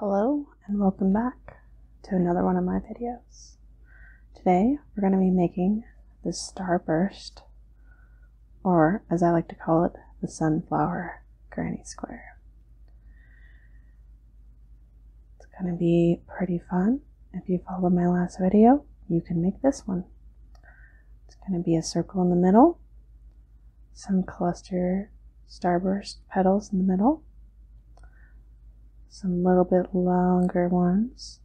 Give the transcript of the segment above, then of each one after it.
Hello and welcome back to another one of my videos. Today we're going to be making the starburst, or as I like to call it, the sunflower granny square. It's going to be pretty fun. If you followed my last video, you can make this one. It's going to be a circle in the middle, some cluster starburst petals in the middle, some little bit longer ones,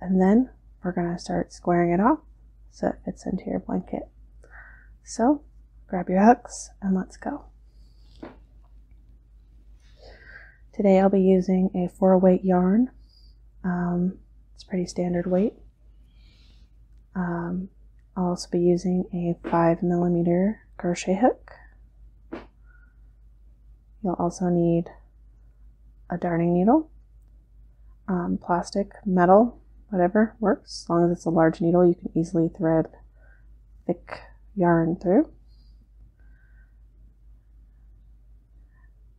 and then we're going to start squaring it off so it fits into your blanket. So grab your hooks and let's go. Today I'll be using a four weight yarn um, it's pretty standard weight. Um, I'll also be using a 5 millimeter crochet hook. You'll also need a darning needle, um, plastic, metal, whatever works. As long as it's a large needle, you can easily thread thick yarn through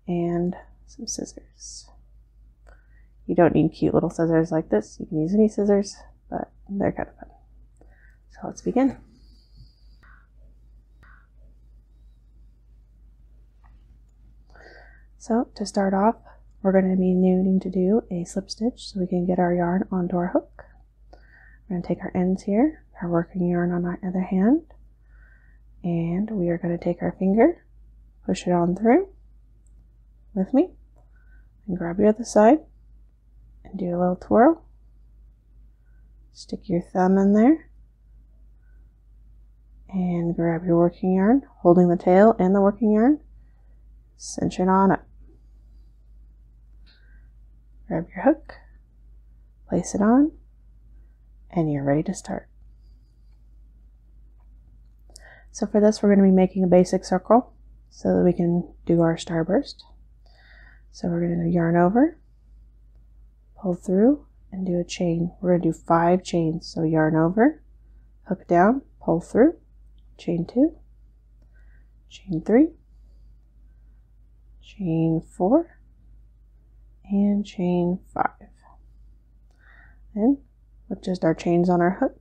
and some scissors. You don't need cute little scissors like this. You can use any scissors, but they're kind of fun. So let's begin. So to start off, we're going to be needing to do a slip stitch so we can get our yarn onto our hook. We're going to take our ends here, our working yarn on our other hand, and we are going to take our finger, push it on through with me, and grab your other side and do a little twirl. Stick your thumb in there and grab your working yarn, holding the tail and the working yarn, cinch it on up. Grab your hook, place it on, and you're ready to start. So for this, we're going to be making a basic circle so that we can do our starburst. So we're going to yarn over, pull through, and do a chain. We're going to do five chains. So yarn over, hook down, pull through, chain two, chain three, chain four, and chain five. And with just our chains on our hook,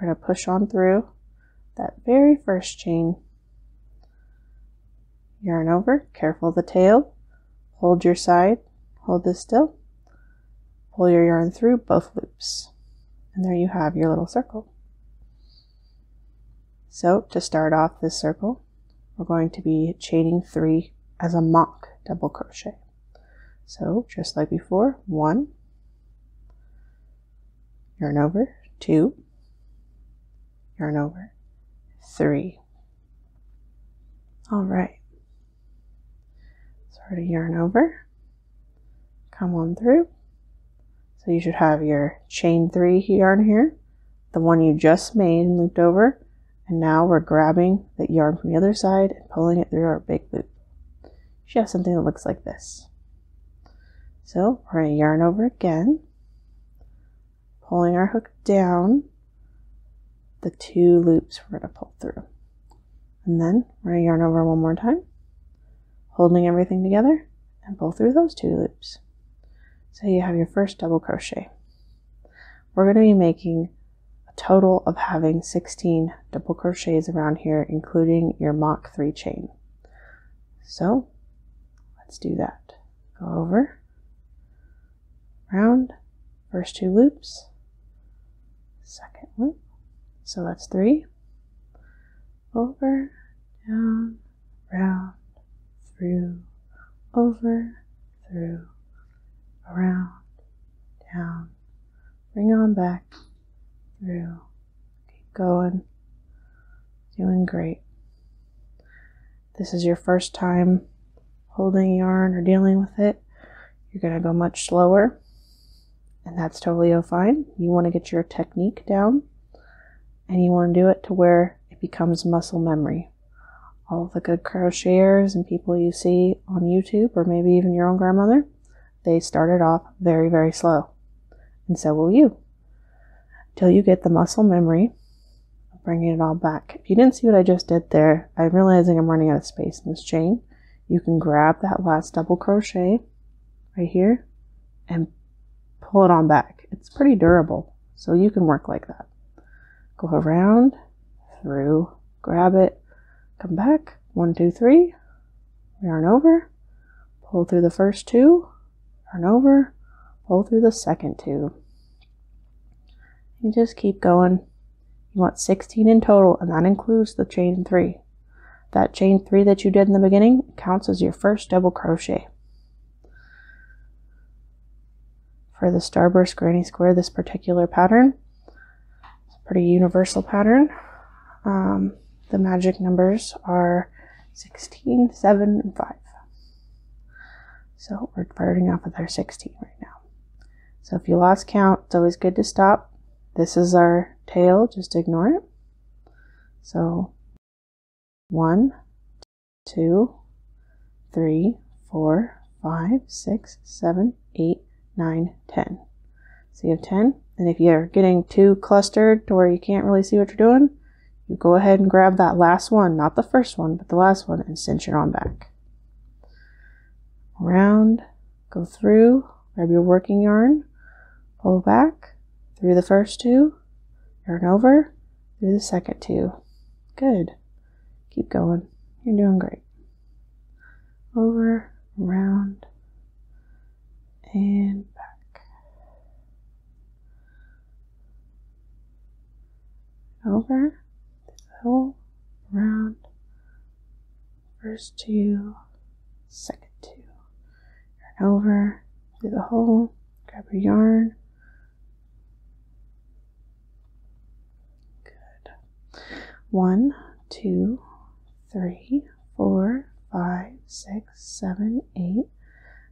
we're going to push on through that very first chain. Yarn over, careful the tail, hold your side, hold this still, pull your yarn through both loops. And there you have your little circle. So to start off this circle, we're going to be chaining three as a mock double crochet. So just like before, one, yarn over, two, yarn over, three. All right. Sort of yarn over, come on through. So you should have your chain three yarn here, the one you just made looped over, and now we're grabbing that yarn from the other side and pulling it through our big loop. You have something that looks like this. So we're going to yarn over again, pulling our hook down the two loops we're going to pull through. And then we're going to yarn over one more time, holding everything together and pull through those two loops. So you have your first double crochet. We're going to be making a total of having 16 double crochets around here, including your mock three chain. So let's do that. Go over, round, first two loops, second loop. So that's three, over, down, round, through, over, through, around, down, bring on back, through, keep going, doing great. This is your first time holding yarn or dealing with it. You're going to go much slower, and that's totally fine. You want to get your technique down, and you want to do it to where it becomes muscle memory all the good crocheters and people you see on YouTube or maybe even your own grandmother, they started off very, very slow. And so will you. Till you get the muscle memory of bringing it all back. If you didn't see what I just did there, I'm realizing I'm running out of space in this chain. You can grab that last double crochet right here and pull it on back. It's pretty durable, so you can work like that. Go around, through, grab it, come back, one, two, three, yarn over, pull through the first two, yarn over, pull through the second two. You just keep going. You want 16 in total, and that includes the chain three. That chain three that you did in the beginning counts as your first double crochet for the starburst granny square, this particular pattern. It's a pretty universal pattern. Um, the magic numbers are 16, 7, and 5. So we're starting off with our 16 right now. So if you lost count, it's always good to stop. This is our tail, just ignore it. So 1, 2, three, four, five, six, seven, eight, nine, ten. So you have 10. And if you're getting too clustered to where you can't really see what you're doing, you go ahead and grab that last one, not the first one, but the last one, and cinch it on back. Round, go through, grab your working yarn, pull back through the first two, yarn over, through the second two. Good. Keep going. You're doing great over, round, and back. Over this whole round, first two, second two. Yarn over through the hole, grab your yarn, Good. One, two, three, four, five, six, seven, eight,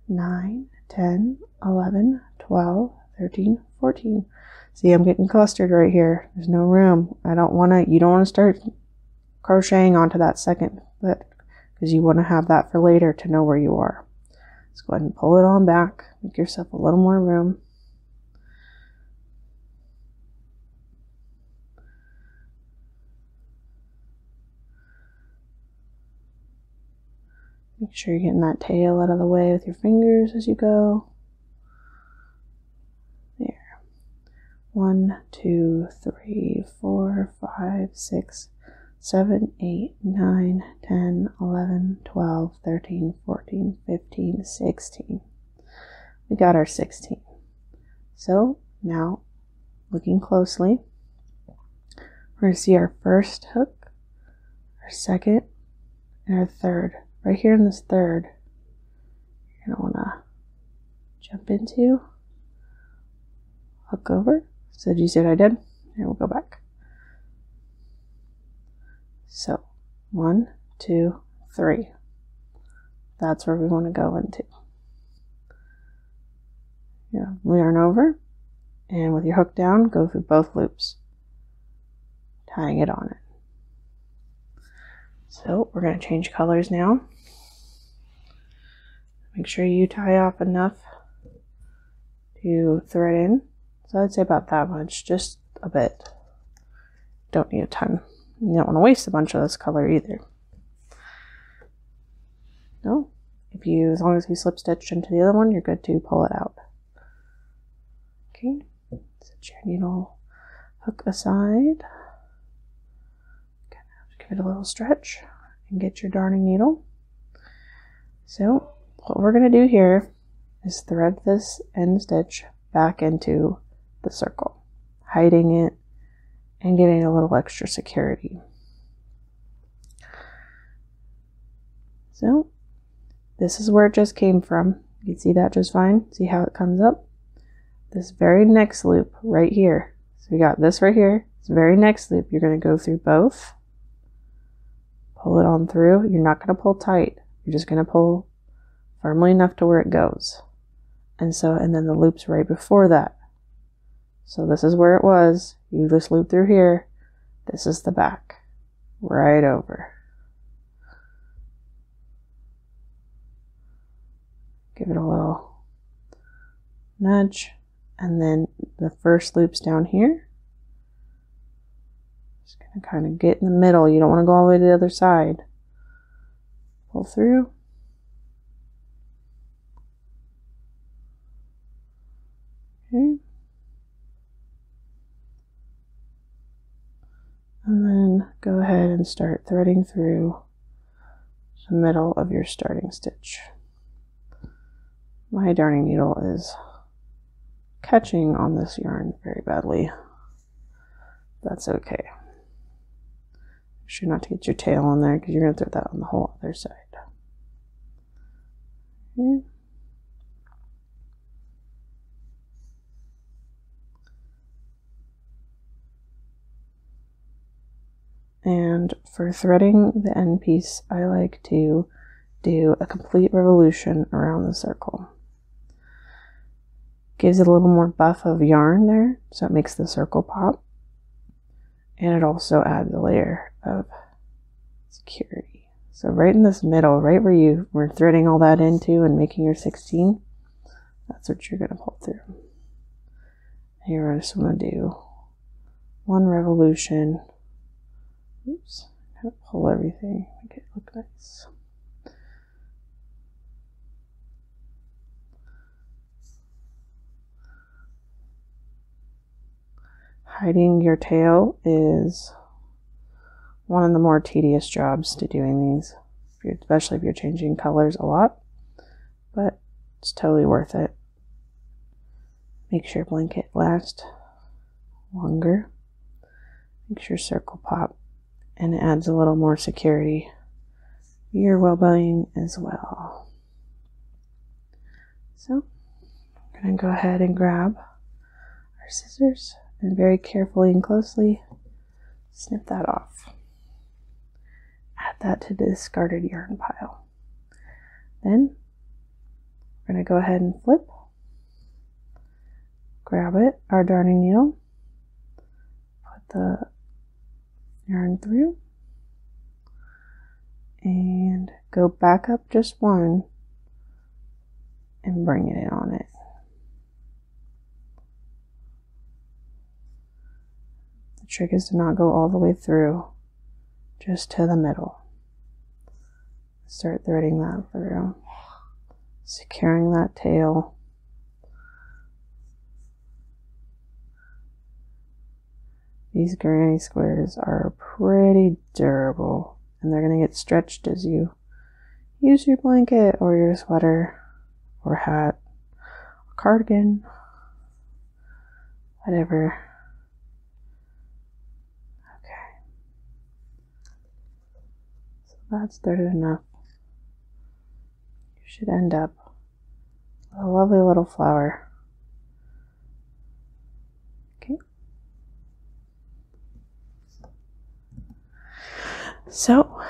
nine, ten, eleven, twelve, thirteen, fourteen. See, I'm getting clustered right here. There's no room. I don't want to, you don't want to start crocheting onto that second foot because you want to have that for later to know where you are. Let's go ahead and pull it on back. Make yourself a little more room. Make sure you're getting that tail out of the way with your fingers as you go. There. One, two, three, four, five, six, seven, eight, nine, ten, eleven, twelve, thirteen, fourteen. 14, 15, 16. We got our 16. So now, looking closely, we're going to see our first hook, our second, and our third. Right here in this third, you're going to want to jump into, hook over. So did you see what I did? Here, we'll go back. So one, two, three. That's where we want to go into. Yeah, yarn over, and with your hook down, go through both loops, tying it on it. So we're going to change colors now. Make sure you tie off enough to thread in. So I'd say about that much, just a bit. Don't need a ton. You don't want to waste a bunch of this color either. No. If you, as long as you slip stitch into the other one, you're good to pull it out. Okay. Set your needle hook aside. Give it a little stretch and get your darning needle. So what we're going to do here is thread this end stitch back into the circle, hiding it and getting a little extra security. So this is where it just came from. You can see that just fine. See how it comes up? This very next loop right here. So we got this right here. This very next loop, you're going to go through both. Pull it on through. You're not going to pull tight. You're just going to pull firmly enough to where it goes. And so, and then the loop's right before that. So this is where it was. You just loop through here. This is the back. Right over. Give it a little nudge. And then the first loop's down here. Just going to kind of get in the middle. You don't want to go all the way to the other side. Pull through. Okay. And then go ahead and start threading through the middle of your starting stitch. My darning needle is catching on this yarn very badly. That's okay. Make sure not to get your tail in there because you're going to throw that on the whole other side. And for threading the end piece, I like to do a complete revolution around the circle. Gives it a little more buff of yarn there, so it makes the circle pop. And it also adds a layer of security. So right in this middle, right where you were threading all that into and making your 16, that's what you're gonna pull through. Here I just wanna do one revolution. Oops, kind of pull everything, make it look nice. Hiding your tail is one of the more tedious jobs to doing these, especially if you're changing colors a lot, but it's totally worth it. Makes your blanket last longer. Makes your circle pop and it adds a little more security your well-being as well. So I'm going to go ahead and grab our scissors and very carefully and closely snip that off. Add that to the discarded yarn pile. Then we're going to go ahead and flip Grab it, our darning needle, put the yarn through, and go back up just one and bring it in on it. The trick is to not go all the way through, just to the middle. Start threading that through securing that tail. These granny squares are pretty durable and they're going to get stretched as you use your blanket or your sweater or hat cardigan, whatever. Okay. So that's dirted enough. You should end up with a lovely little flower. Okay. So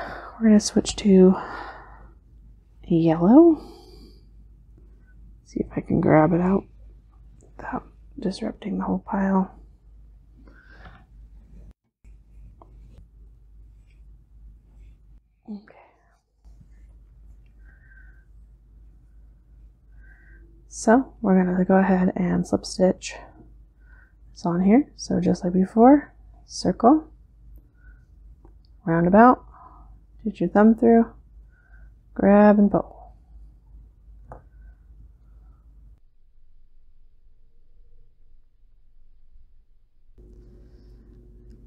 we're going to switch to yellow. See if I can grab it out without disrupting the whole pile. Okay. So we're going to go ahead and slip stitch it's on here. So just like before, circle, roundabout, get your thumb through, grab and pull.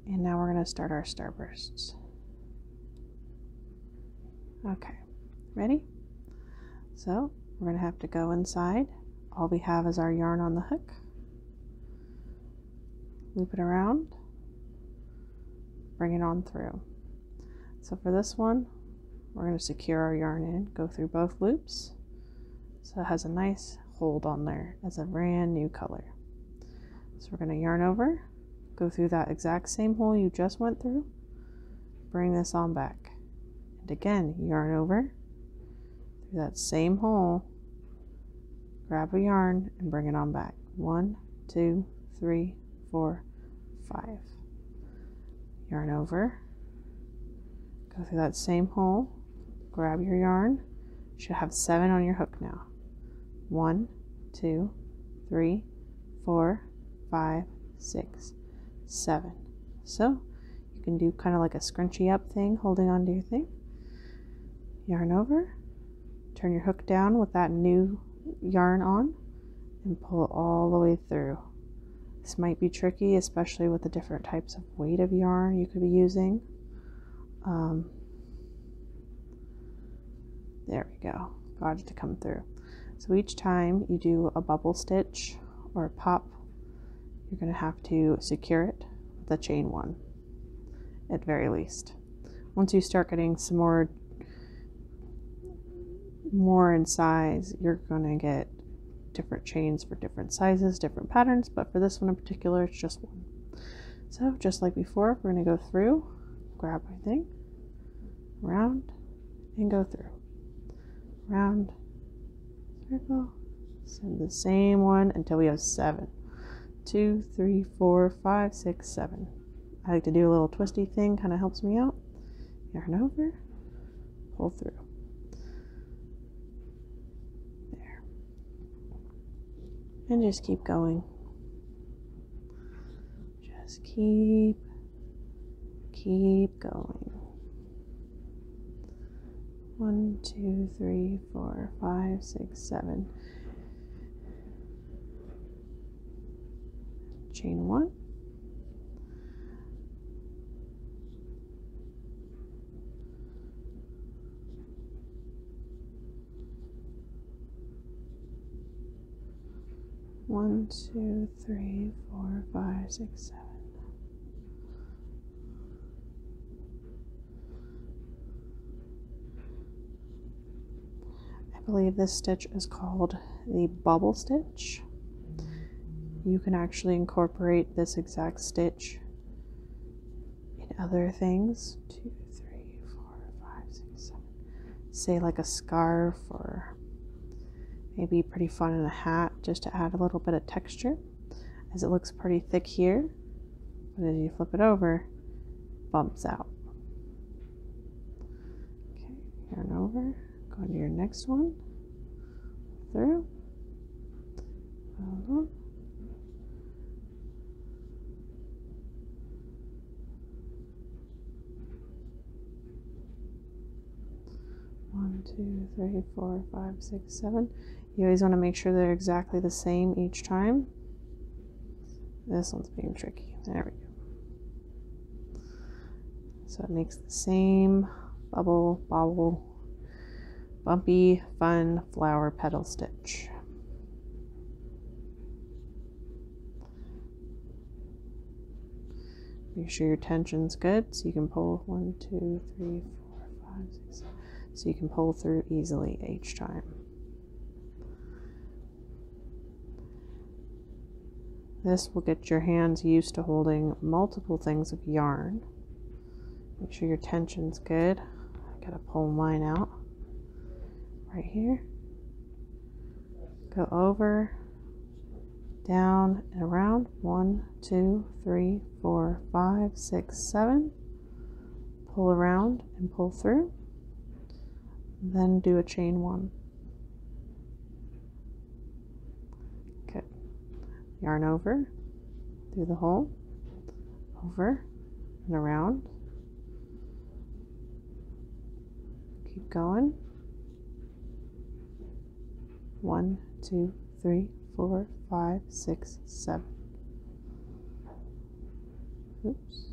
And now we're going to start our starbursts. Okay, ready? So we're going to have to go inside. All we have is our yarn on the hook. Loop it around. Bring it on through. So for this one, we're going to secure our yarn in, go through both loops, so it has a nice hold on there as a brand new color. So we're going to yarn over, go through that exact same hole you just went through, bring this on back. And again, yarn over through that same hole, grab a yarn and bring it on back. One, two, three, four, five. Yarn over, Go through that same hole, grab your yarn. You should have seven on your hook now. One, two, three, four, five, six, seven. So you can do kind of like a scrunchy up thing, holding onto your thing. Yarn over, turn your hook down with that new yarn on, and pull all the way through. This might be tricky, especially with the different types of weight of yarn you could be using. Um, there we go, got it to come through. So each time you do a bubble stitch or a pop, you're going to have to secure it with a chain one at very least. Once you start getting some more more in size, you're going to get different chains for different sizes, different patterns, but for this one in particular, it's just one. So just like before, we're going to go through, grab my thing, round, and go through. Round, circle, send the same one until we have seven. Two, three, four, five, six, seven. I like to do a little twisty thing, kind of helps me out. Yarn over, pull through. There. And just keep going. Just keep, keep going. One, two, three, four, five, six, seven. Chain one. One, two, three, four, five, six, seven. I believe this stitch is called the bubble stitch. You can actually incorporate this exact stitch in other things. Two, three, four, five, six, seven. Say like a scarf or maybe pretty fun in a hat just to add a little bit of texture as it looks pretty thick here. But as you flip it over, bumps out. Okay, yarn over, go into your next one through. One, two, three, four, five, six, seven. You always want to make sure they're exactly the same each time. This one's being tricky. There we go. So it makes the same bubble, bobble, bumpy, fun flower petal stitch. Make sure your tension's good so you can pull one, two, three, four, five, six, seven, so you can pull through easily each time. This will get your hands used to holding multiple things of yarn Make sure your tension's good. I gotta pull mine out right here. Go over, down, and around. One, two, three, four, five, six, seven. Pull around and pull through. Then do a chain one. Okay. Yarn over through the hole, over and around. Keep going. One, two, three, four, five, six, seven. Oops.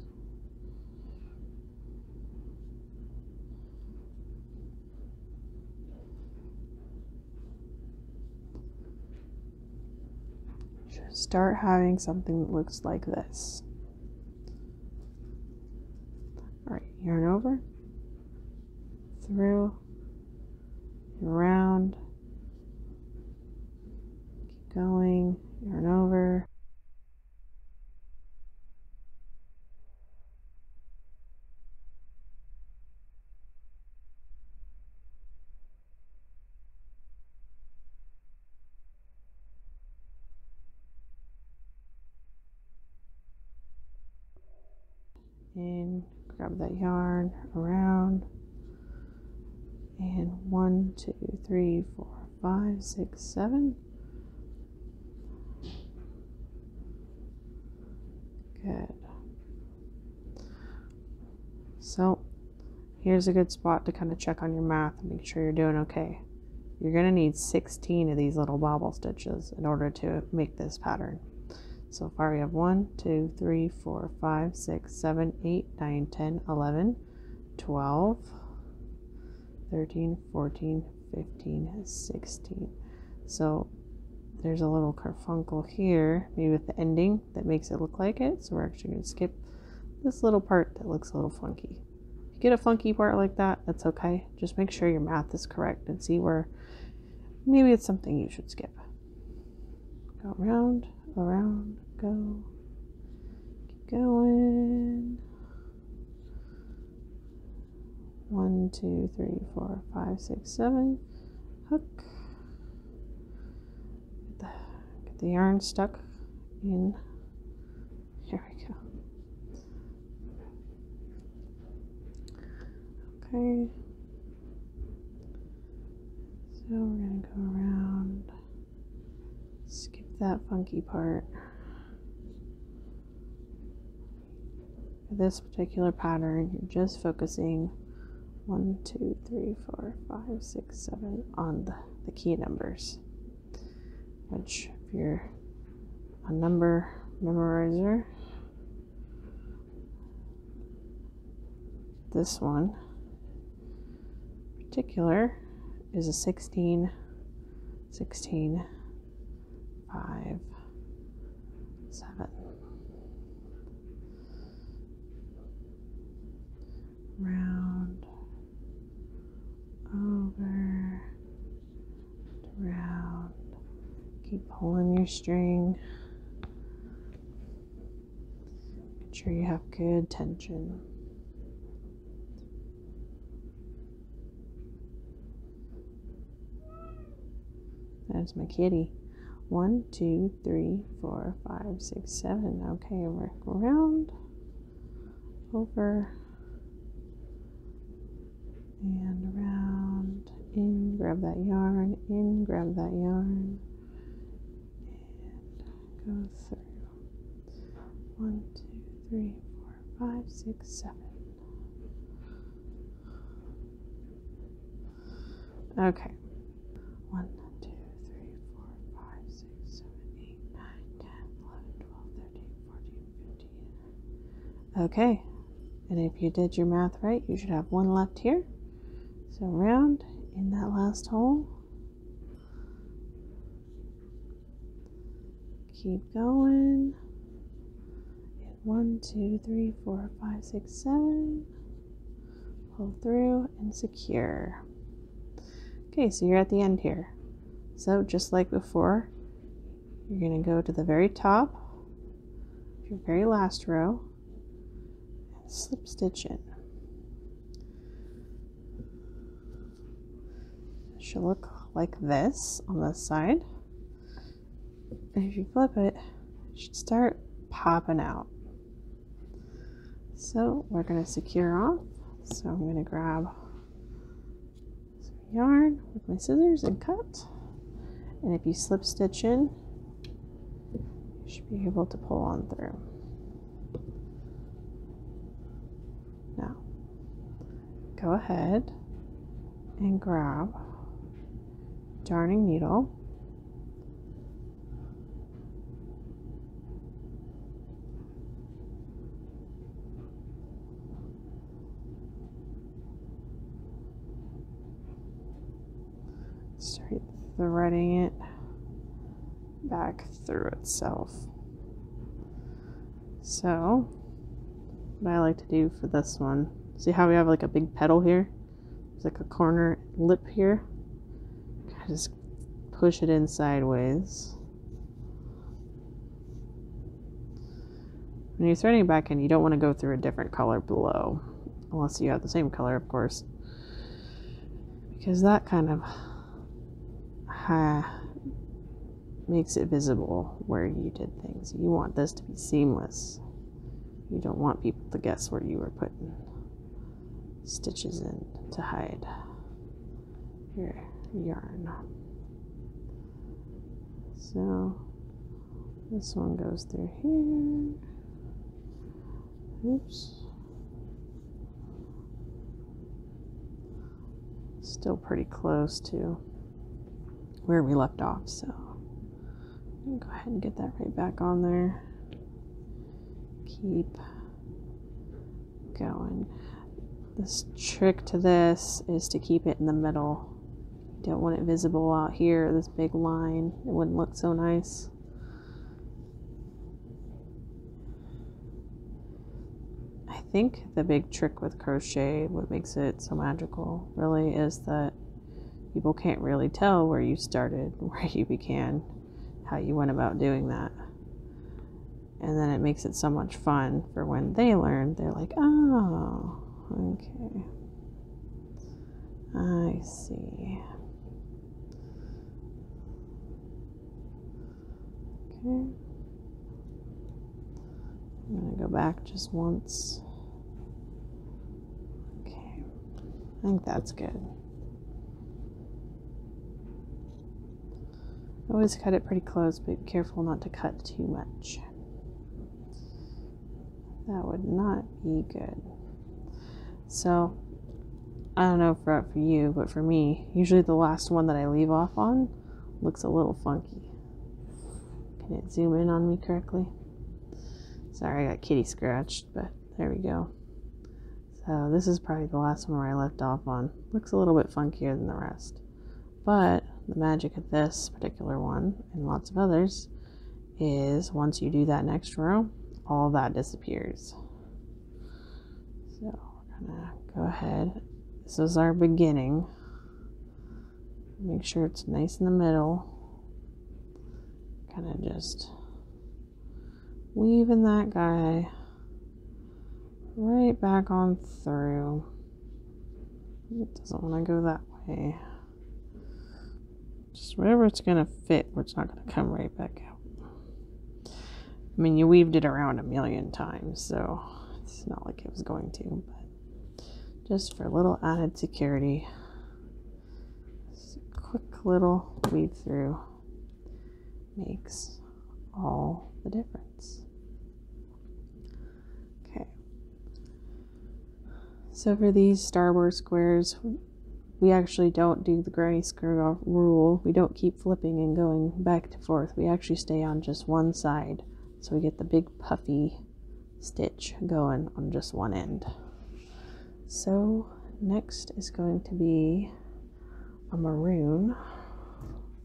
Just start having something that looks like this. All right, yarn over, through, and around. Keep going, yarn over. And grab that yarn around, and one, two, three, four, five, six, seven. Good. So here's a good spot to kind of check on your math and make sure you're doing okay. You're going to need 16 of these little bobble stitches in order to make this pattern. So far we have 1, 2, 3, 4, 5, 6, 7, 8, 9, 10, 11, 12, 13, 14, 15, 16. So there's a little carfunkle here, maybe with the ending that makes it look like it. So we're actually going to skip this little part that looks a little funky. If you get a funky part like that, that's okay. Just make sure your math is correct and see where maybe it's something you should skip. Go around, around, go. Keep going. One, two, three, four, five, six, seven hook. Get the, yarn stuck in. Here we go. Okay. So we're going to go around, skip that funky part. This particular pattern, you're just focusing one, two, three, four, five, six, seven on the, the key numbers. Which, if you're a number memorizer, this one particular is a 16, 16, 5, 7 round over round keep pulling your string make sure you have good tension there's my kitty one two three, four, five, six, seven. Okay, work around, over, and around. In, grab that yarn, in, grab that yarn, and go through. One, two, three, four, five, six, seven. Okay. 1, Okay. And if you did your math right, you should have one left here. So round in that last hole. Keep going. And one, two, three, four, five, six, seven pull through and secure. Okay, so you're at the end here. So just like before, you're going to go to the very top, your very last row, and slip stitch in. It should look like this on this side if you flip it, it should start popping out. So we're going to secure off. So I'm going to grab some yarn with my scissors and cut. And if you slip stitch in, you should be able to pull on through. Now, go ahead and grab darning needle. Start threading it back through itself. So, what I like to do for this one, see how we have like a big petal here? It's like a corner lip here. just push it in sideways. When you're threading back in, you don't want to go through a different color below. Unless you have the same color, of course. Because that kind of makes it visible where you did things. You want this to be seamless. You don't want people to guess where you were putting stitches in to hide your yarn. So this one goes through here. Oops. Still pretty close to where we left off, so Go ahead and get that right back on there. Keep going. This trick to this is to keep it in the middle. You don't want it visible out here, this big line. It wouldn't look so nice. I think the big trick with crochet, what makes it so magical, really is that people can't really tell where you started, where you began, how you went about doing that. And then it makes it so much fun for when they learn, they're like, oh, okay. I see. Okay. I'm going to go back just once. Okay, I think that's good. Always cut it pretty close, but careful not to cut too much. That would not be good. So, I don't know for, for you, but for me, usually the last one that I leave off on looks a little funky. Can it zoom in on me correctly? Sorry, I got kitty scratched, but there we go. So this is probably the last one where I left off on. Looks a little bit funkier than the rest. But the magic of this particular one, and lots of others, is once you do that next row, all that disappears. So we're gonna go ahead. This is our beginning. Make sure it's nice in the middle. Kind of just weaving that guy right back on through. It doesn't want to go that way. Just wherever it's going to fit, it's not going to come right back out. I mean, you weaved it around a million times, so it's not like it was going to, but just for a little added security, this quick little weave through makes all the difference. Okay. So for these starboard squares, we actually don't do the gray square rule. We don't keep flipping and going back to forth. We actually stay on just one side. So we get the big puffy stitch going on just one end. So, next is going to be a maroon.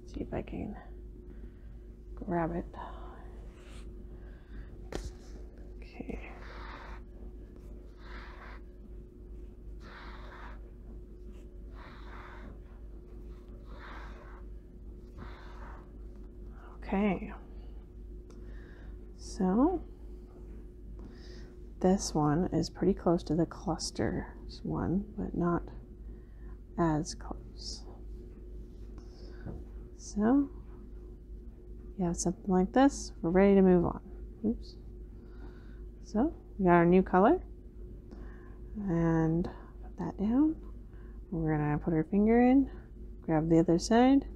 see if I can grab it. Okay. Okay. So this one is pretty close to the cluster one, but not as close. So yeah, something like this. We're ready to move on. Oops. So we got our new color and put that down. We're gonna put our finger in, grab the other side,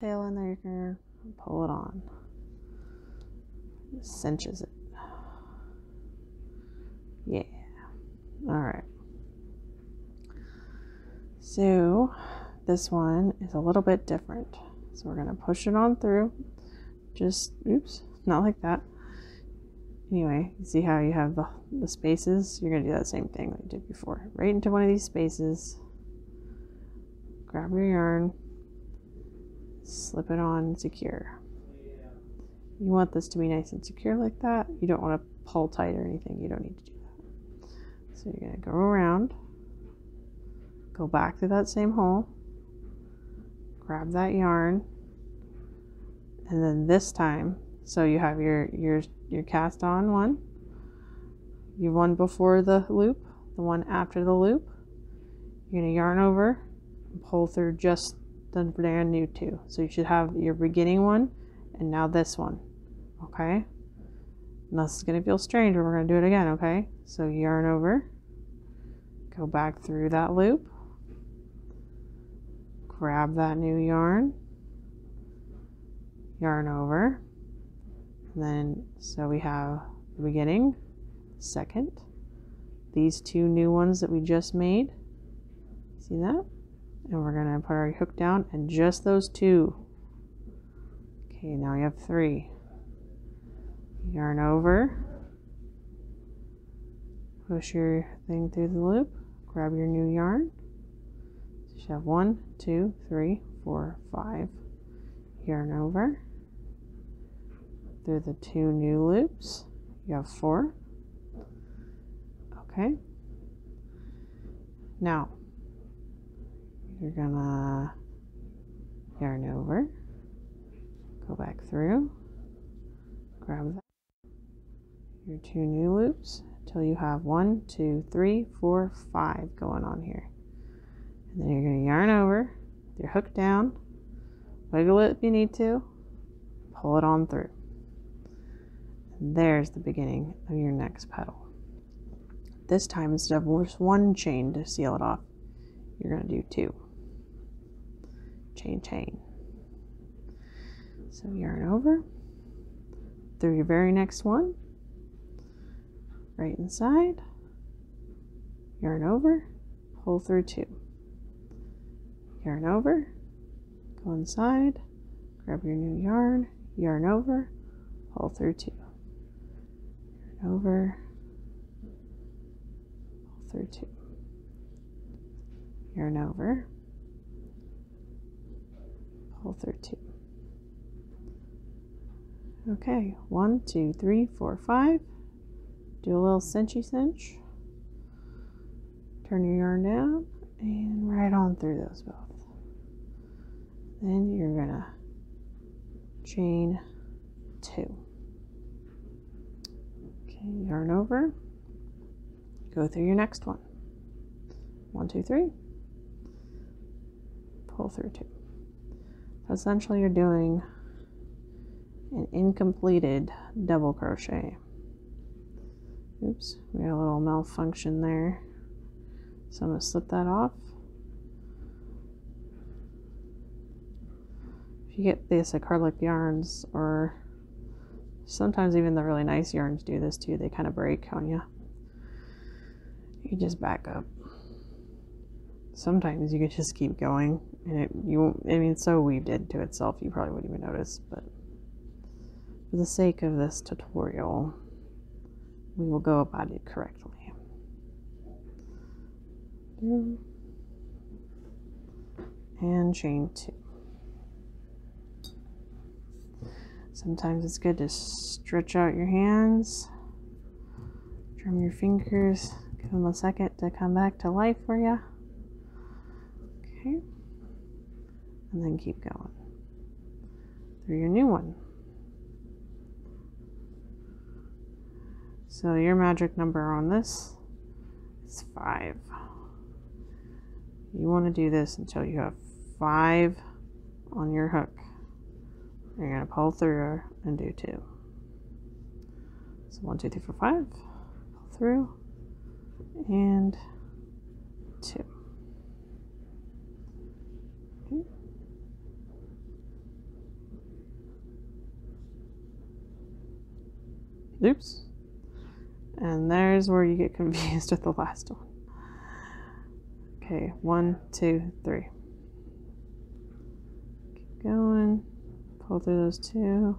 tail in there, pull it on. cinches it. Yeah. All right. So this one is a little bit different. So we're going to push it on through just, oops, not like that. Anyway, see how you have the, the spaces? You're going to do that same thing that did before. Right into one of these spaces, grab your yarn, slip it on, secure. You want this to be nice and secure like that. You don't want to pull tight or anything. You don't need to do that. So you're going to go around Go back through that same hole, grab that yarn, and then this time, so you have your, your, your cast on one, you one before the loop, the one after the loop, you're gonna yarn over pull through just the brand new two. So you should have your beginning one and now this one, okay? And gonna feel strange, but we're gonna do it again, okay? So yarn over, Go back through that loop, grab that new yarn, yarn over, and then so we have the beginning, second, these two new ones that we just made, see that? And we're gonna put our hook down and just those two. Okay, now you have three. Yarn over, push your thing through the loop, grab your new yarn. So you have one, two, three, four, five yarn over. Through the two new loops, you have four. Okay. Now, you're gonna yarn over, go back through, grab your two new loops until you have one, two, three, four, five going on here. And then you're going to yarn over, your hook down, wiggle it if you need to, pull it on through. there's the beginning of your next petal. This time, instead of just one chain to seal it off, you're going to do two. Chain, chain. So yarn over through your very next one, right inside, yarn over, pull through two. Yarn over, go inside, grab your new yarn, yarn over, pull through two. Yarn over, Pull through two. Yarn over, pull through two. Okay, one, two, three, four, five. Do a little cinchy cinch. Turn your yarn down and right on through those both. Then you're gonna chain two. Okay, yarn over, go through your next one. One, two, three, pull through two. So essentially you're doing an incompleted double crochet. Oops, we got a little malfunction there. So I'm gonna slip that off. If you get this at Cardlick Yarns, or sometimes even the really nice yarns do this too, they kind of break on you. You just back up. Sometimes you can just keep going, and it you I mean it's so weaved into itself you probably wouldn't even notice, but for the sake of this tutorial, we will go about it correctly. Mm. and chain two. Sometimes it's good to stretch out your hands, drum your fingers, give them a second to come back to life for you. Okay. And then keep going through your new one. So your magic number on this it's five. You want to do this until you have five on your hook. You're going to pull through and do two. So one, two, three, four, five, pull through, and two. Okay. Oops. And there's where you get confused with the last one. Okay, one, two, three. Keep going. Pull through those two.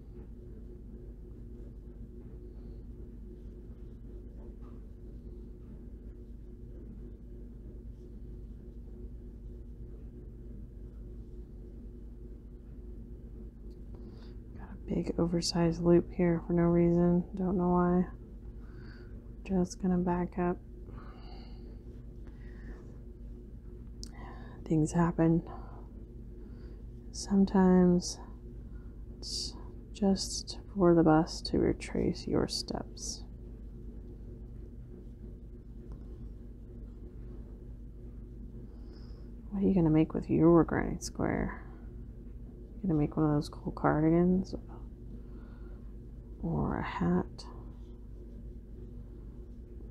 Got a big oversized loop here for no reason. Don't know why. Just gonna back up. Things happen. Sometimes it's just for the best to retrace your steps. What are you going to make with your granny square? You going to make one of those cool cardigans? Or a hat?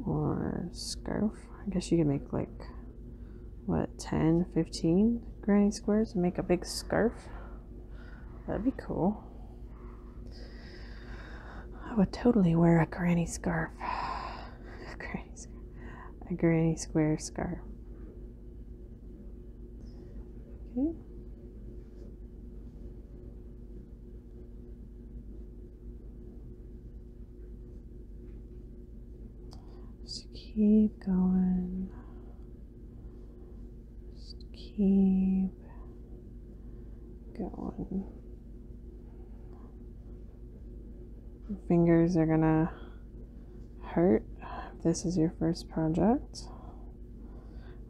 Or a scarf? I guess you can make like what 10 15 granny squares and make a big scarf that'd be cool I would totally wear a granny scarf a granny, a granny square scarf okay just keep going. Just keep going. fingers are gonna hurt if this is your first project,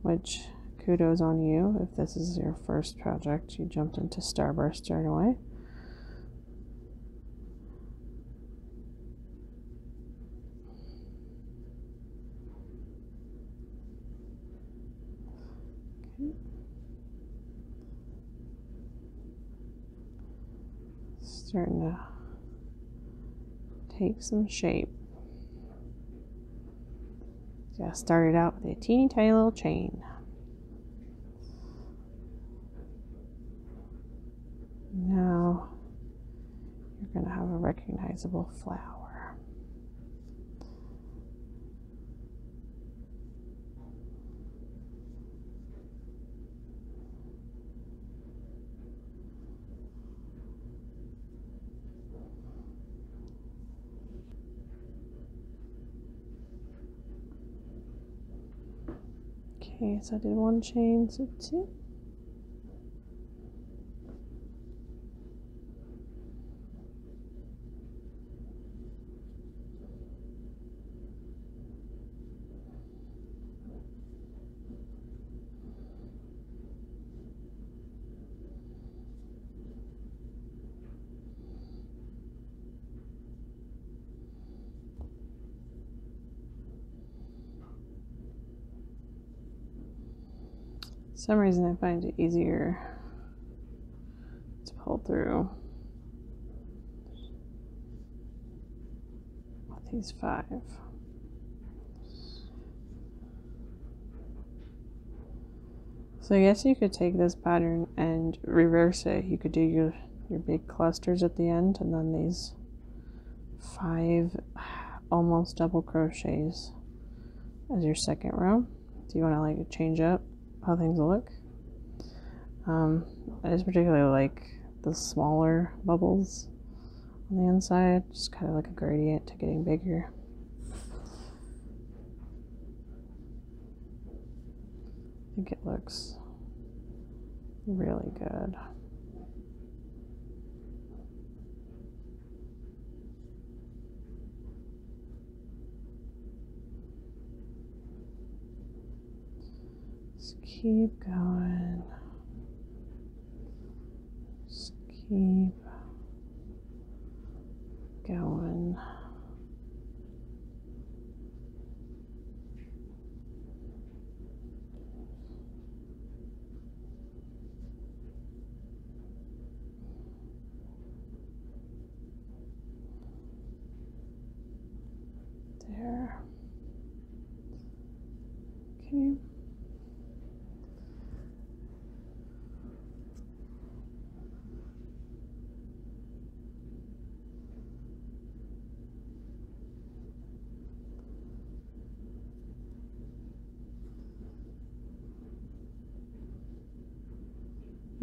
which kudos on you if this is your first project. You jumped into Starburst right away. Okay. Starting to take some shape. So I started out with a teeny tiny little chain. Now you're going to have a recognizable flower. Okay, so I did one chain, so two some reason I find it easier to pull through these five. So I guess you could take this pattern and reverse it. You could do your, your big clusters at the end and then these five almost double crochets as your second row. Do you want to like change up how things look? Um, I just particularly like the smaller bubbles on the inside, just kind of like a gradient to getting bigger. I think it looks Really good. Just keep going. Just keep going. There. Okay.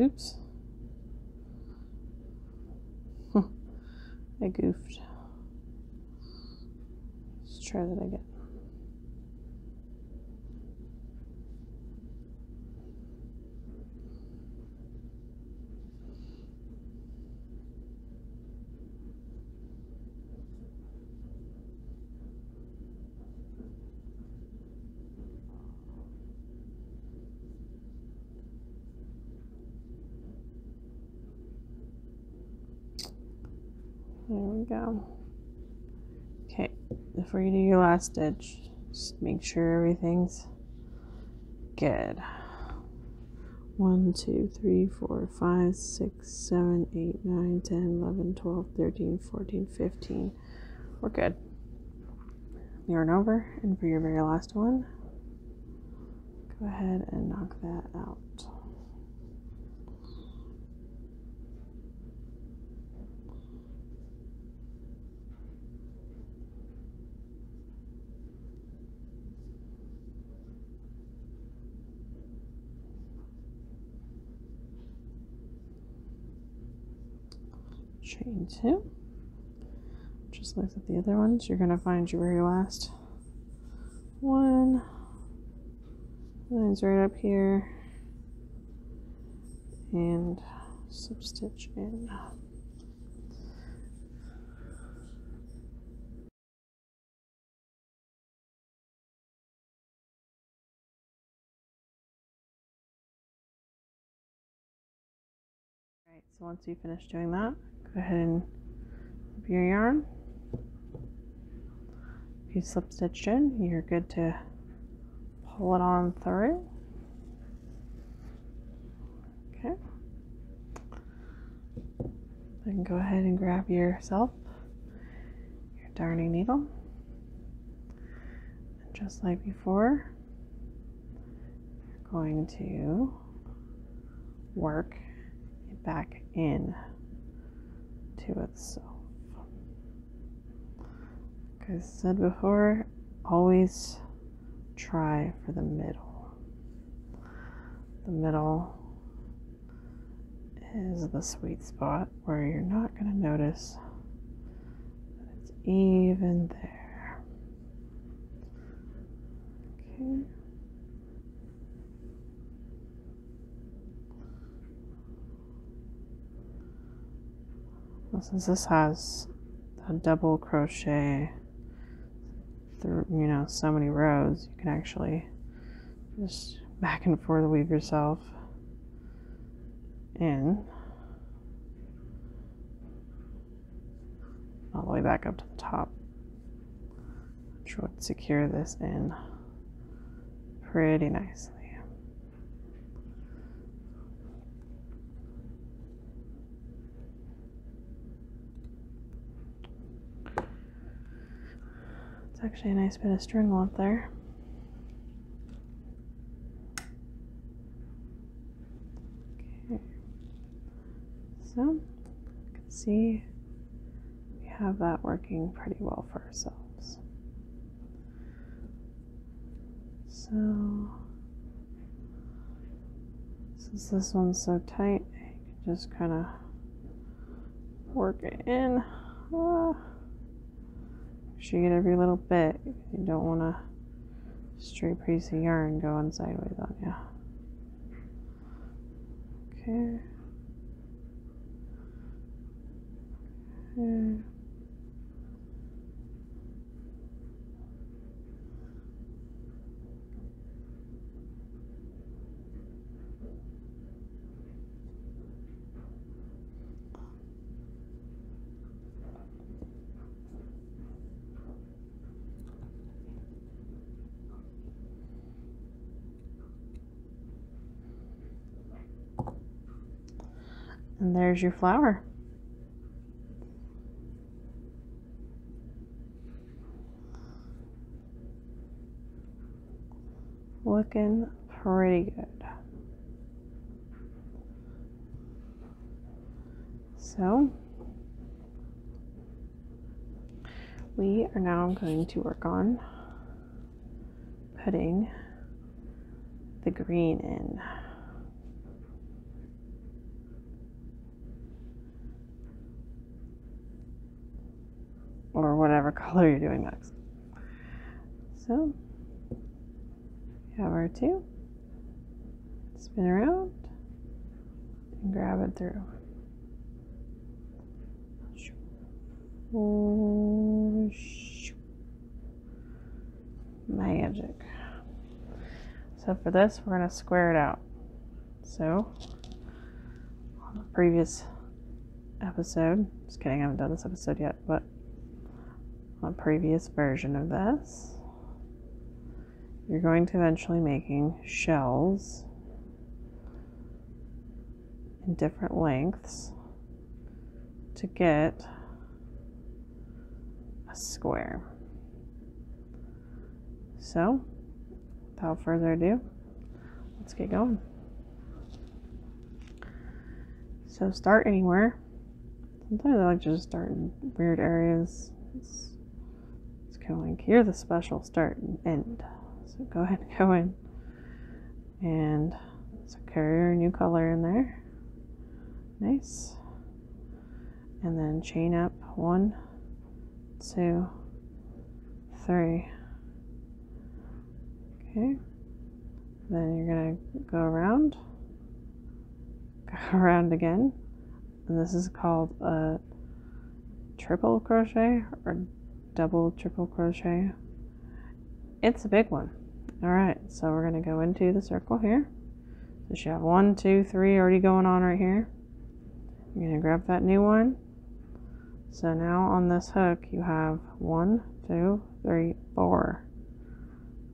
Oops. I goofed. Let's try that again. There we go. Okay, before you do your last stitch, just make sure everything's Good. One, two, three, four, five, six, seven, eight, nine, ten, eleven, twelve, thirteen, fourteen, fifteen. We're good. Yarn over, and for your very last one, go ahead and knock that out chain two just like the other ones you're going to find your very last one lines right up here and slip stitch in Alright, so once you finish doing that, go ahead and your yarn. If you slip stitch in, you're good to pull it on through. Okay. Then go ahead and grab yourself your darning needle. And just like before, you're going to work back in to itself. Like I said before, always try for the middle. The middle is the sweet spot where you're not going to notice that it's even there. Okay. since this has a double crochet through, you know, so many rows, you can actually just back and forth weave yourself in all the way back up to the top. Try to secure this in pretty nicely. It's actually a nice bit of string length there. Okay. So, you can see we have that working pretty well for ourselves. So, since this one's so tight, just kind of work it in. Uh, ah. pushing it every little bit. You don't want a straight piece of yarn going sideways on you. Okay. okay. And there's your flower. Looking pretty good. So we are now going to work on putting the green in or whatever color you're doing next. So we have our two, spin around and grab it through. Magic. So for this, we're going to square it out. So, on the previous episode, just kidding, I haven't done this episode yet, but on a previous version of this, you're going to eventually making shells in different lengths to get a square. So, without further ado, let's get going. So, start anywhere. Sometimes I like to just start in weird areas. It's, kind of like here the special start and end. So, go ahead and go in. And it's a carrier, new color in there. Nice. And then chain up one, two, three. Okay. Then you're going to go around, go around again. And this is called a triple crochet or double triple crochet. It's a big one. All right, so we're going to go into the circle here. So you have one, two, three already going on right here. You're going to grab that new one, so now on this hook you have one, two, three, four.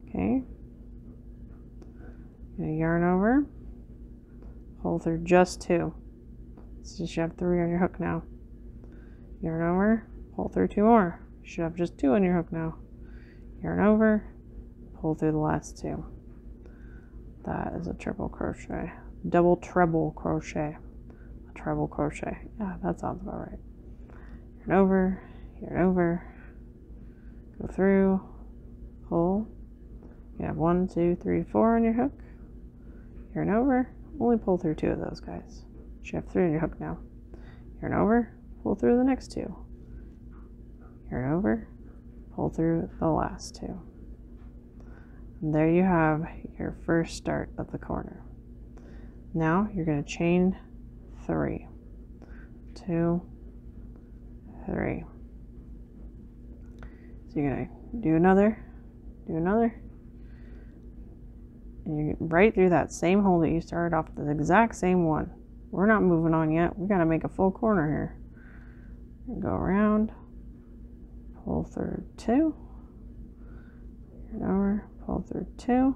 Okay. yarn over, pull through just two. So you have three on your hook now. Yarn over, pull through two more. You should have just two on your hook now. Yarn over, pull through the last two. That is a triple crochet. Double treble crochet. A treble crochet. Yeah, that sounds about right. Here over, here and over. Go through, pull. You have one, two, three, four on your hook. Here over. Only pull through two of those guys. You have three on your hook now. Here over, pull through the next two. Here over, pull through the last two there you have your first start of the corner. Now you're going to chain three, two, three. So you're going to do another, do another, and you are right through that same hole that you started off the exact same one. We're not moving on yet. We got to make a full corner here. And go around, pull through two, and over, pull through two,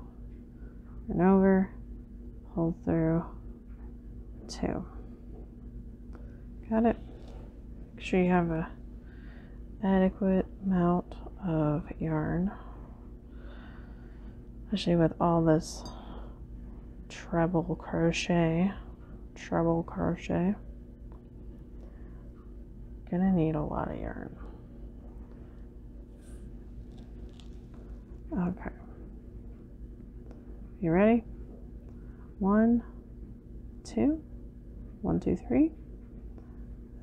and over, pull through two. Got it? Make sure you have a adequate amount of yarn, especially with all this treble crochet, treble crochet. Gonna need a lot of yarn. Okay. You ready? One, two, one, two, three.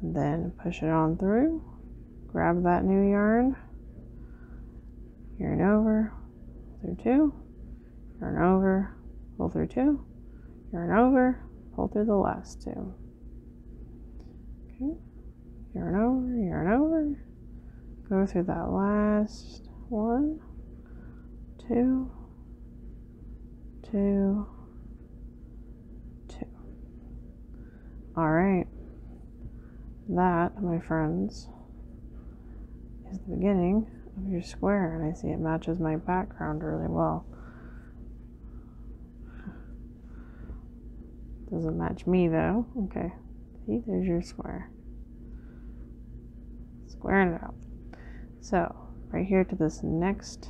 And then push it on through. Grab that new yarn. Yarn over through two yarn over, pull through two, yarn over, pull through the last two. Okay, yarn over, yarn over, go through that last one, two, two, two. All right, that, my friends, is the beginning of your square and I see it matches my background really well. Doesn't match me though. Okay. See, there's your square. Squaring it up. So, right here to this next,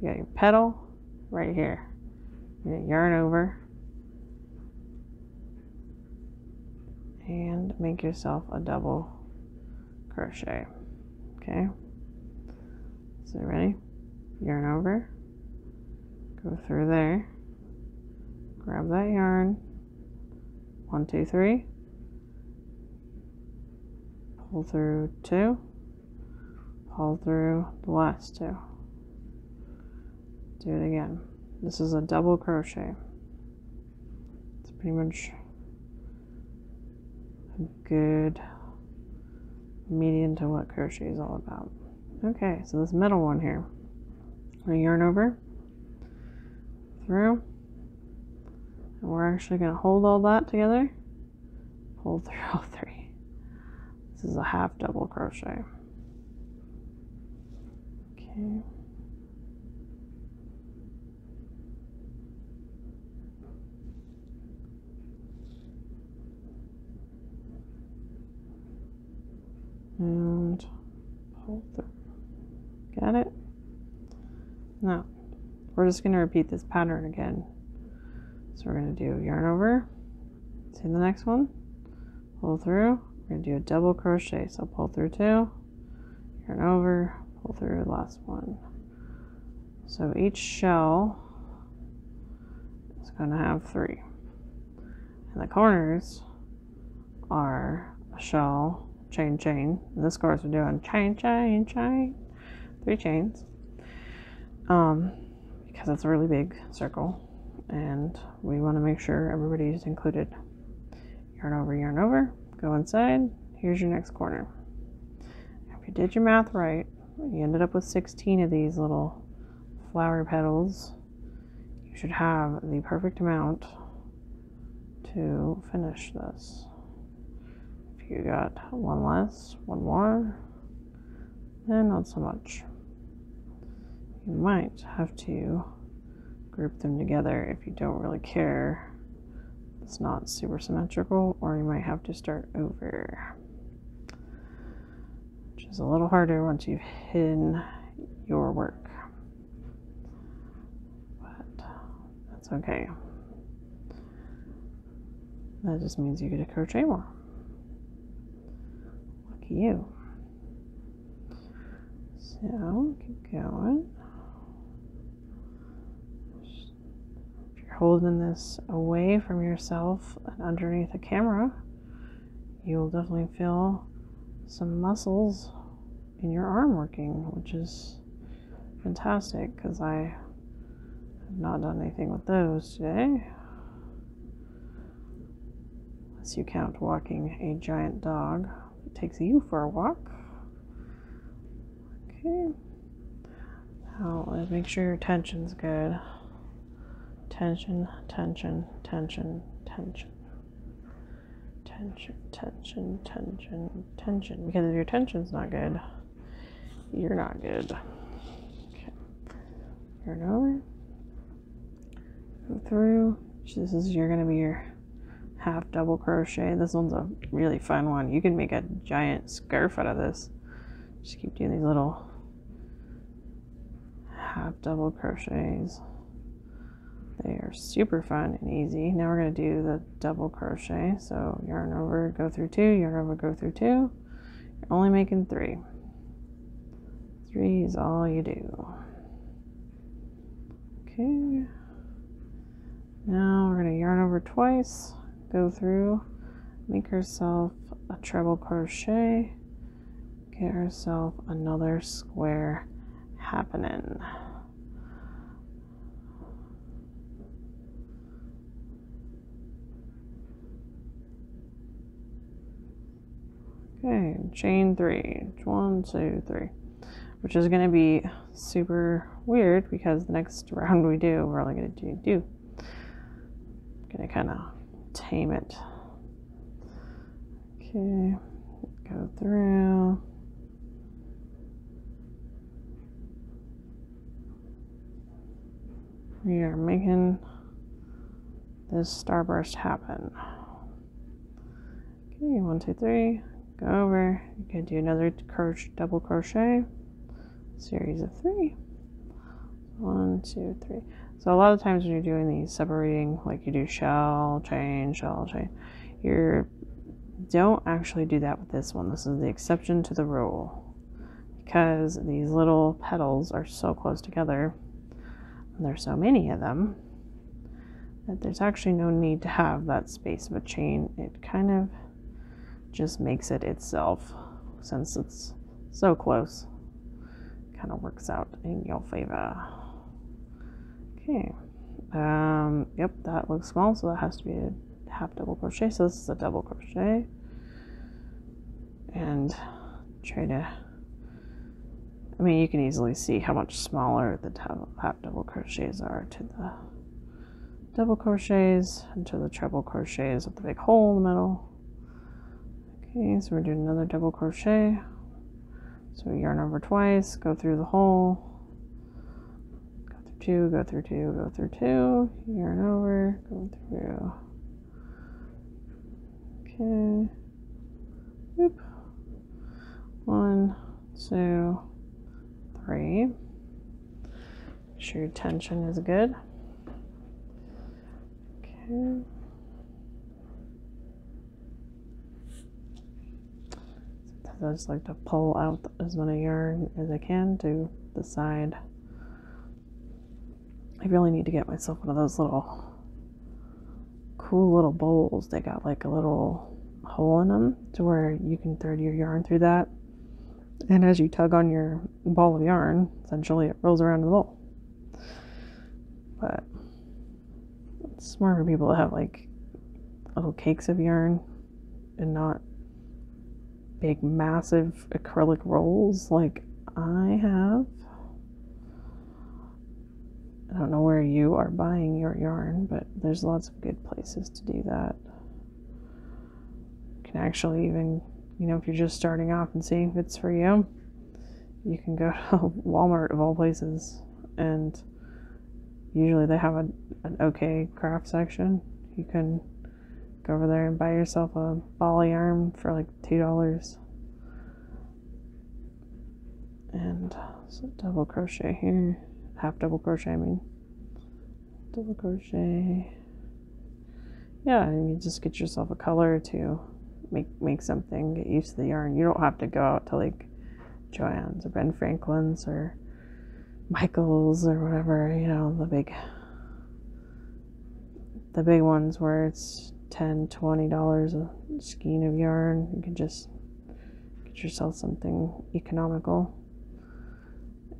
you got your petal right here. yarn over. And make yourself a double crochet okay so ready yarn over go through there grab that yarn one two three pull through two pull through the last two do it again this is a double crochet it's pretty much good median to what crochet is all about. Okay, so this middle one here, I yarn over, through, we're actually going to hold all that together, pull through all three. This is a half double crochet. Okay and pull through. Got it? Now, we're just going to repeat this pattern again. So we're going to do yarn over, see the next one, pull through, we're going to do a double crochet. So pull through two, yarn over, pull through, last one. So each shell is going to have three. And the corners are a shell, chain, chain. this course we're doing chain, chain, chain. Three chains. Um, because it's a really big circle. And we want to make sure everybody's included. Yarn over, yarn over. Go inside. Here's your next corner. If you did your math right, you ended up with 16 of these little flower petals. You should have the perfect amount to finish this. If you got one less, one more, then not so much. You might have to group them together if you don't really care it's not super symmetrical or you might have to start over which is a little harder once you've hidden your work but that's okay that just means you get to crochet more lucky you so keep going if you're holding this away from yourself and underneath a camera, you'll definitely feel some muscles in your arm working, which is fantastic because I have not done anything with those today. Unless you count walking a giant dog, it takes you for a walk. Okay. Now uh, make sure your tension's good. Tension, tension, tension, tension. Tension, tension, tension, tension. Because if your tension's not good, you're not good. Okay. Turn over. Go through. This is you're gonna be your half double crochet. This one's a really fun one. You can make a giant scarf out of this. Just keep doing these little half double crochets. They are super fun and easy. Now we're going to do the double crochet. So yarn over, go through two, yarn over, go through two. You're only making three. Three is all you do. Okay. Now we're going to yarn over twice, go through, make herself a treble crochet, get herself another square happening. Okay, chain three, one, two, three, which is going to be super weird because the next round we do, we're only going to do, do. going to kind of tame it. Okay, go through. We are making this starburst happen. Okay, one, two, three, go over. You can do another double crochet series of three, one, two, three. So a lot of times when you're doing these separating, like you do shall, change, shall, change, you don't actually do that with this one. This is the exception to the rule. Because these little petals are so close together, and there's so many of them, that there's actually no need to have that space of a chain. It kind of just makes it itself since it's so close. Kind of works out in your favor. Okay. Um, yep, that looks small, so that has to be a half double crochet. So this is a double crochet. And try to, I mean, you can easily see how much smaller the half double crochets are to the double crochets into the treble crochets with the big hole in the middle. Okay, so we're doing another double crochet. So we yarn over twice, go through the hole, go through two, go through two, go through two, yarn over, go through. Okay. Whoop. One, two, three. Sure your tension is good. Okay. I just like to pull out as much yarn as I can to the side. I really need to get myself one of those little cool little bowls that got like a little hole in them to where you can thread your yarn through that and as you tug on your ball of yarn, essentially it rolls around in the bowl. But it's people have like little cakes of yarn and not big, massive acrylic rolls like I have. I don't know where you are buying your yarn, but there's lots of good places to do that can actually even, you know, if you're just starting off and seeing if it's for you, you can go to Walmart of all places. And usually they have a, an okay craft section. You can go over there and buy yourself a ball of yarn for like $2. And so double crochet here, half double crochet, I mean double crochet yeah and you just get yourself a color to make make something get used to the yarn you don't have to go out to like joann's or ben franklin's or michael's or whatever you know the big the big ones where it's 10 20 dollars a skein of yarn you can just get yourself something economical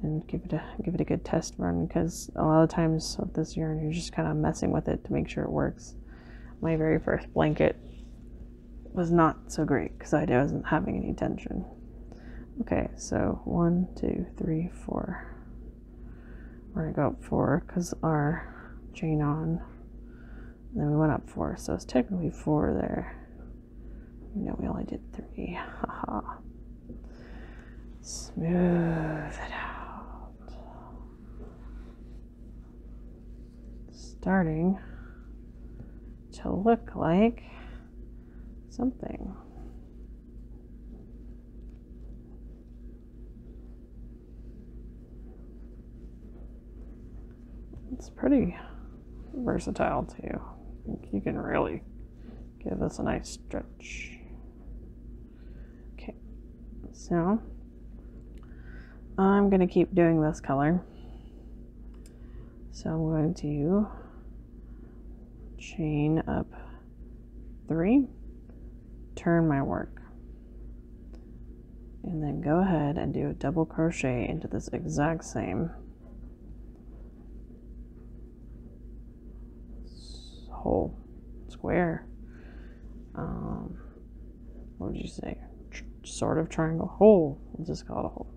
and give it a give it a good test run because a lot of times with this yarn you're just kind of messing with it to make sure it works. My very first blanket was not so great because I wasn't having any tension. Okay, so one, two, three, four. We're gonna go up four because our chain on. then we went up four, so it's technically four there. No, we only did three. Smooth it out. Starting to look like something. It's pretty versatile too. You can really Give us a nice stretch. Okay, so I'm going to keep doing this color. So I'm going to chain up three, turn my work, and then go ahead and do a double crochet into this exact same Hole, square. Um, what would you say? sort of triangle hole. We'll just call it a hole.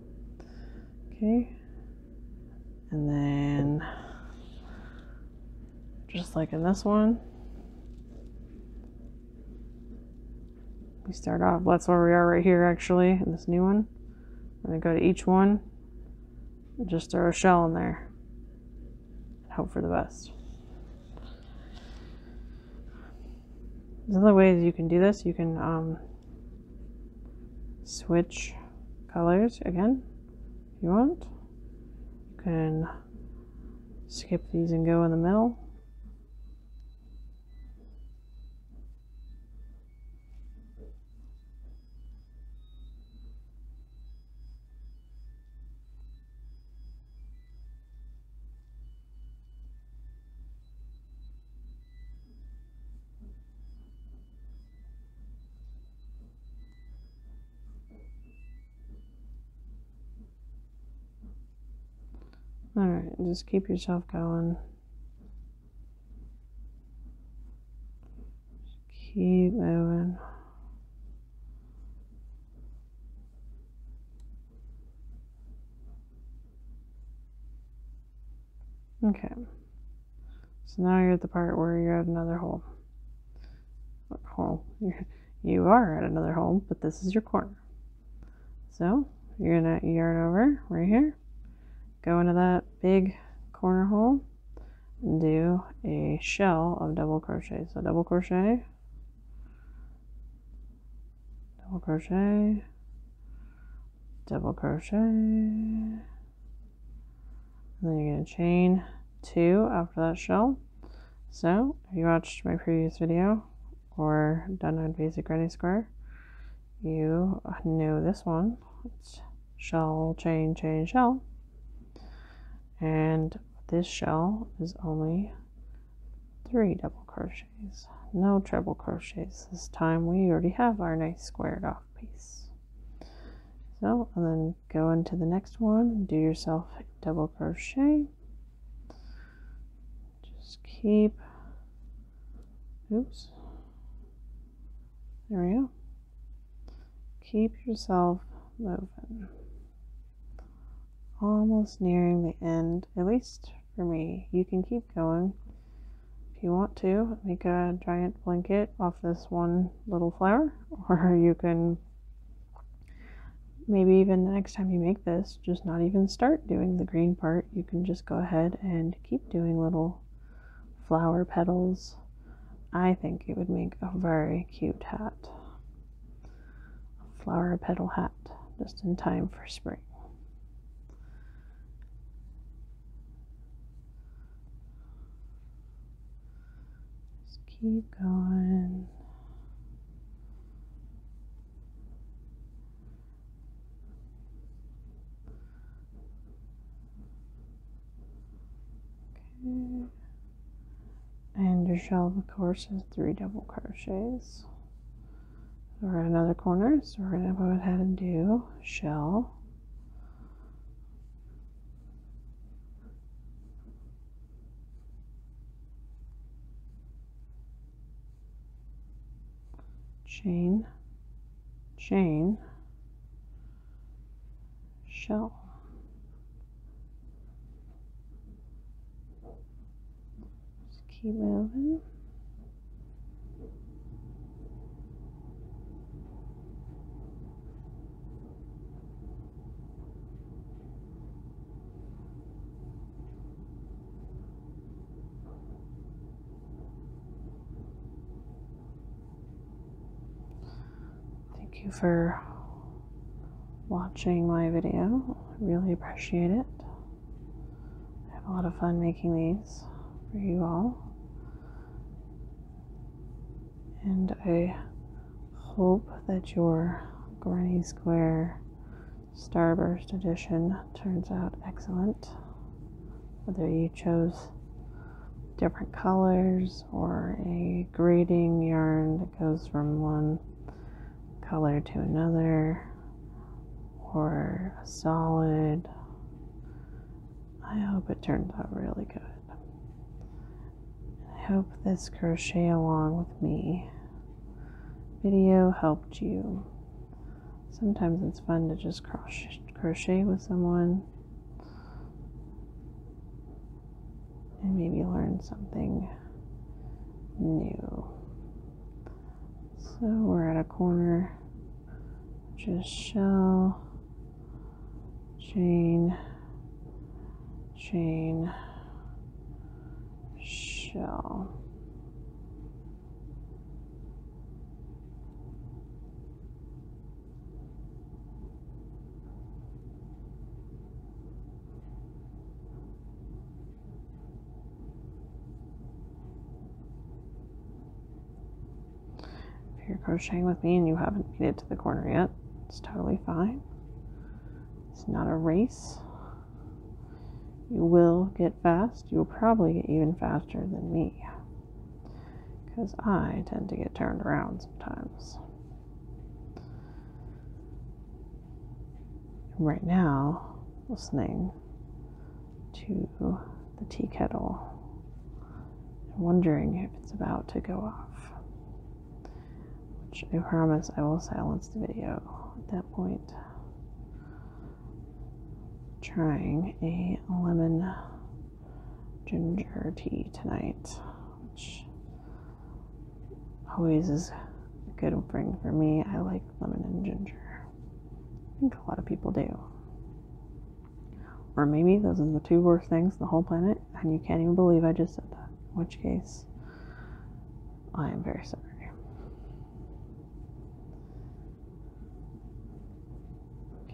Okay. And then, just like in this one, we start off, that's where we are right here actually, in this new one. We're gonna go to each one just throw a shell in there. and Hope for the best. There's other ways you can do this. You can um, switch colors again if you want. You can skip these and go in the middle. All right, just keep yourself going. Just keep moving. Okay. So now you're at the part where you're at another hole. Hole. you are at another hole, but this is your corner. So you're gonna yarn over right here, go into that big corner hole, do a shell of double crochet so double crochet double crochet double crochet then you're going to chain two after that shell so if you watched my previous video or done on basic granny square you know this one shell, chain, chain, shell. And this shell is only three double crochets, no treble crochets. This time we already have our nice squared off piece. So, and then go into the next one, do yourself double crochet. Just keep, oops, there we go. Keep yourself moving. Almost nearing the end, at least for me. You can keep going if you want to. Make a giant blanket off this one little flower, or you can maybe even the next time you make this, just not even start doing the green part. You can just go ahead and keep doing little flower petals. I think it would make a very cute hat. A flower petal hat, just in time for spring. Just keep going. Okay. And your shell, of course, has three double crochets. We're at another corner, so we're going to go ahead and do shell. chain, chain, show. Just keep moving. Thank you for watching my video. I really appreciate it. I have a lot of fun making these for you all. And I hope that your Granny Square Starburst edition turns out excellent. Whether you chose different colors or a grading yarn that goes from one color to another or a solid. I hope it turns out really good. I hope this crochet along with me video helped you. Sometimes it's fun to just crochet, crochet with someone and maybe learn something new. So we're at a corner, just shell, chain, chain, shell. If you're crocheting with me and you haven't made it to the corner yet, it's totally fine. It's not a race. You will get fast. You will probably get even faster than me. Because I tend to get turned around sometimes. right now, listening to the tea kettle wondering if it's about to go off. Which I promise I will silence the video at that point. Trying a lemon ginger tea tonight, which always is a good thing for me. I like lemon and ginger. I think a lot of people do. Or maybe those are the two worst things in the whole planet, and you can't even believe I just said that. In which case, I am very sorry.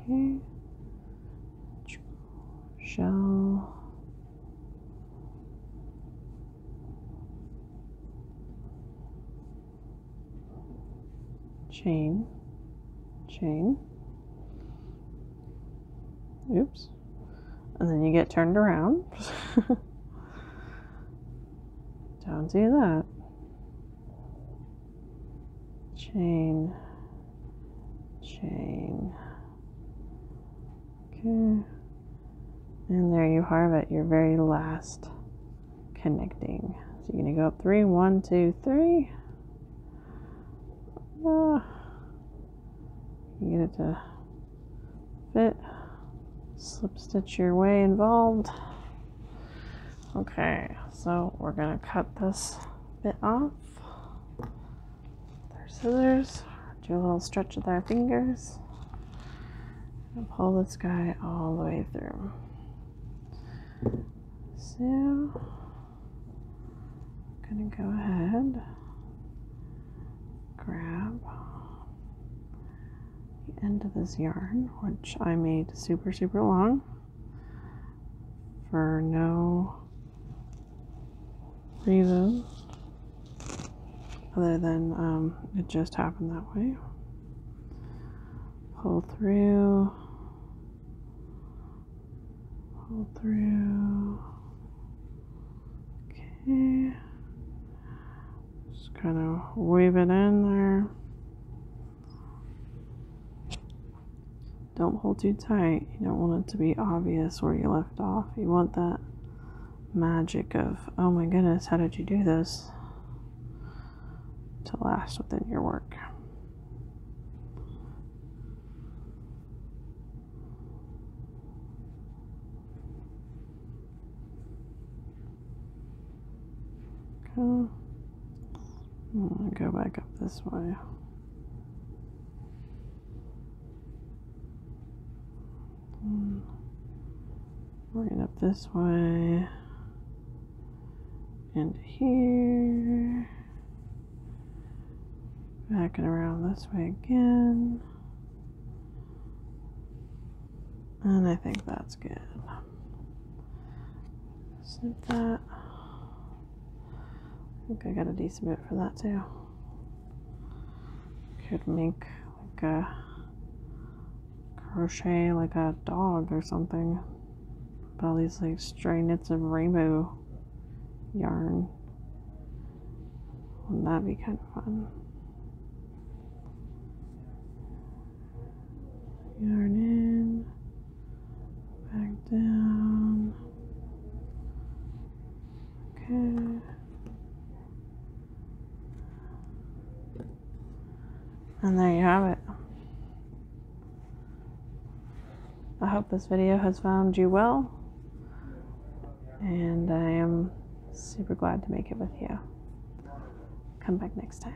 Okay. Shell. Chain. Chain. Oops. And then you get turned around. Don't do that chain, chain. Okay. And there you have it, your very last connecting. So you're gonna go up three, one, two, three. Uh, get it to fit. Slip stitch your way involved. Okay, so we're gonna cut this bit off their scissors, do a little stretch with our fingers, and pull this guy all the way through. So, I'm gonna go ahead, grab the end of this yarn, which I made super, super long for no three of Other than um, it just happened that way. Pull through. Pull through. Okay. Just kind of weave it in there. Don't hold too tight. You don't want it to be obvious where you left off. You want that magic of, oh my goodness, how did you do this? to last within your work. Okay. go back up this way. Mm. Working up this way into here. Back and around this way again. And I think that's good. Snip that. I think I got a decent bit for that too. Could make like a crochet like a dog or something. But all these like stray knits of rainbow yarn. Wouldn't that be kind of fun? Yarn in back down. Okay. And there you have it. I hope this video has found you well, and I am super glad to make it with you. Come back next time.